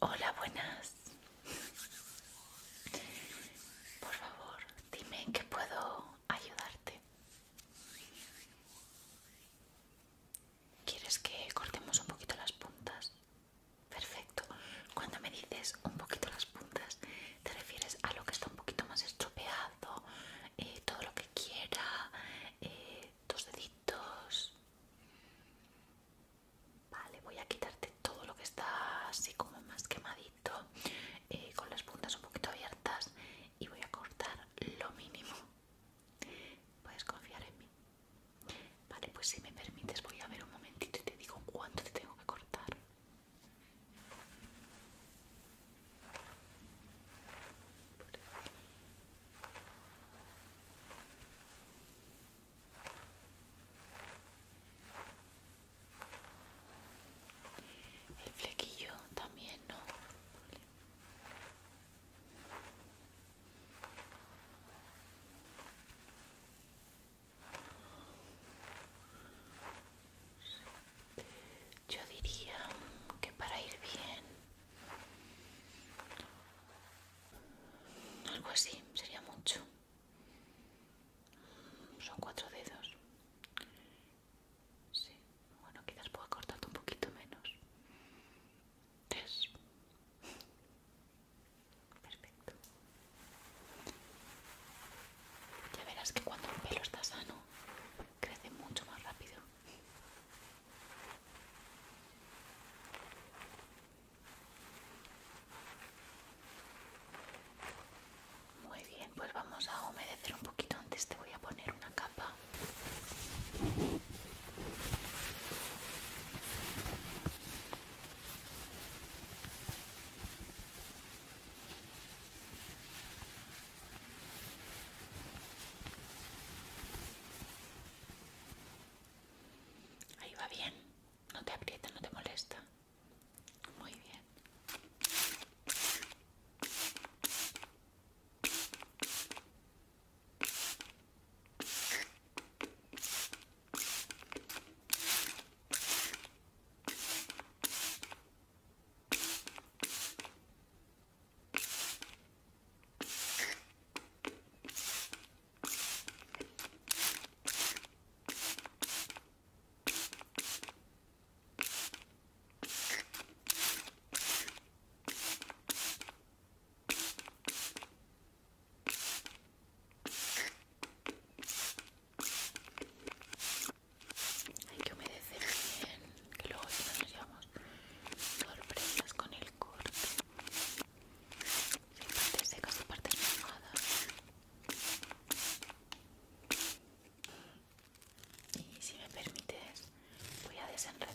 Hola, buenas. Por favor, dime en qué puedo ayudarte. ¿Quieres que cortemos un poquito las puntas? Perfecto. Cuando me dices un poquito las puntas, te refieres a lo que está un poquito más estropeado, eh, todo lo que quiera, eh, tus deditos. Vale, voy a quitarte todo lo que está así como más quemadito, eh, con las puntas un poquito abiertas y voy a cortar lo mínimo. Puedes confiar en mí. Vale, pues si me permites voy a ver un momentito y te digo cuánto te tengo que cortar. El flequillo también no. Yo diría que para ir bien, algo así sería mucho. Son cuatro dedos. Sí, bueno, quizás pueda cortarte un poquito menos. Tres. Perfecto. Ya verás que cuando el pelo está sano, crece mucho más rápido. Muy bien, pues vamos a humedecer un poquito antes. Te voy a poner una capa. Ahí va bien. No te aprieta, no te molesta. Muy bien. Hay que humedecer bien, que luego ya nos llevamos sorpresas con el corte partes secas y partes mojadas. Y si me permites, voy a desenredar.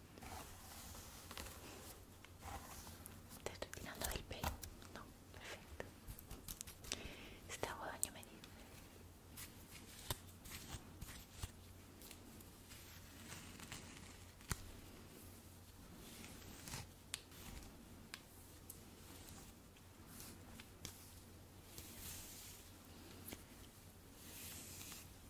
Te estoy tirando del pelo. No, perfecto. Está bueno. daño me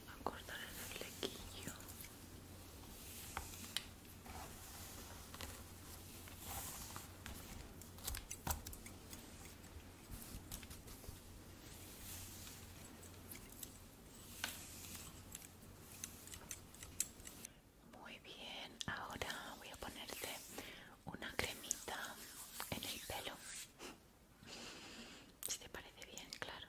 Vamos a cortar el flequillo. Muy bien, ahora voy a ponerte una cremita en el pelo. Si te parece bien, claro.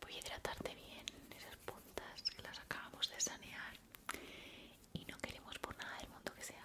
voy a hidratarte bien esas puntas que las acabamos de sanear y no queremos por nada del mundo que se abra.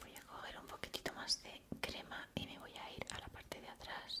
Voy a coger un poquitito más de crema y me voy a ir a la parte de atrás.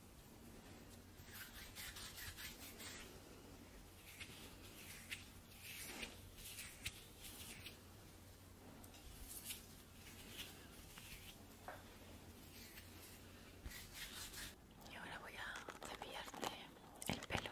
Y ahora voy a desviarte el pelo.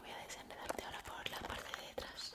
Voy a desenredarte ahora por la parte de detrás.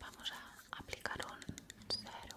vamos a aplicar un cero.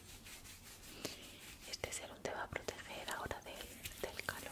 Este serum te va a proteger ahora del calor.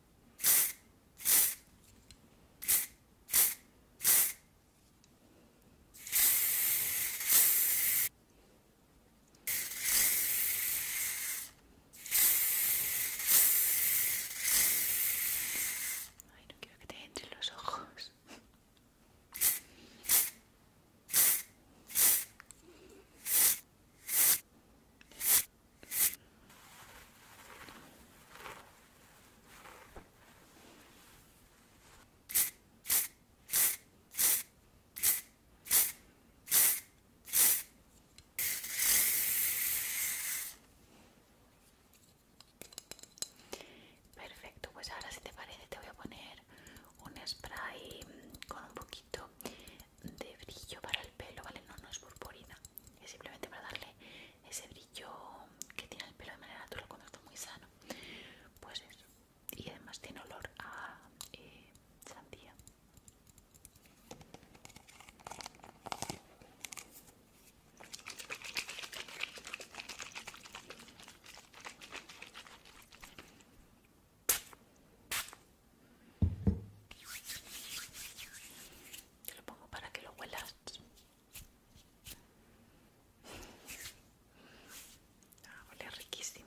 Ay, no quiero que te entren los ojos. Perfecto, pues ahora si te parece te voy a poner un spray con un poquito de brillo para el pelo, ¿vale? No, no es purpurina, es simplemente para darle ese brillo que tiene el pelo de manera natural cuando está muy sano. Pues eso. Y además tiene olor a eh, sandía. Te lo pongo para que lo huelas. Ah, huele riquísimo.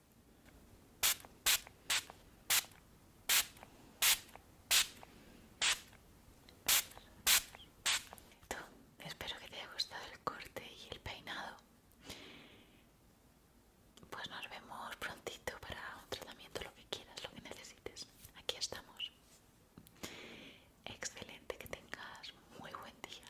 espero que te haya gustado el corte y el peinado. Pues nos vemos prontito para un tratamiento, lo que quieras, lo que necesites. Aquí estamos. Excelente, que tengas muy buen día.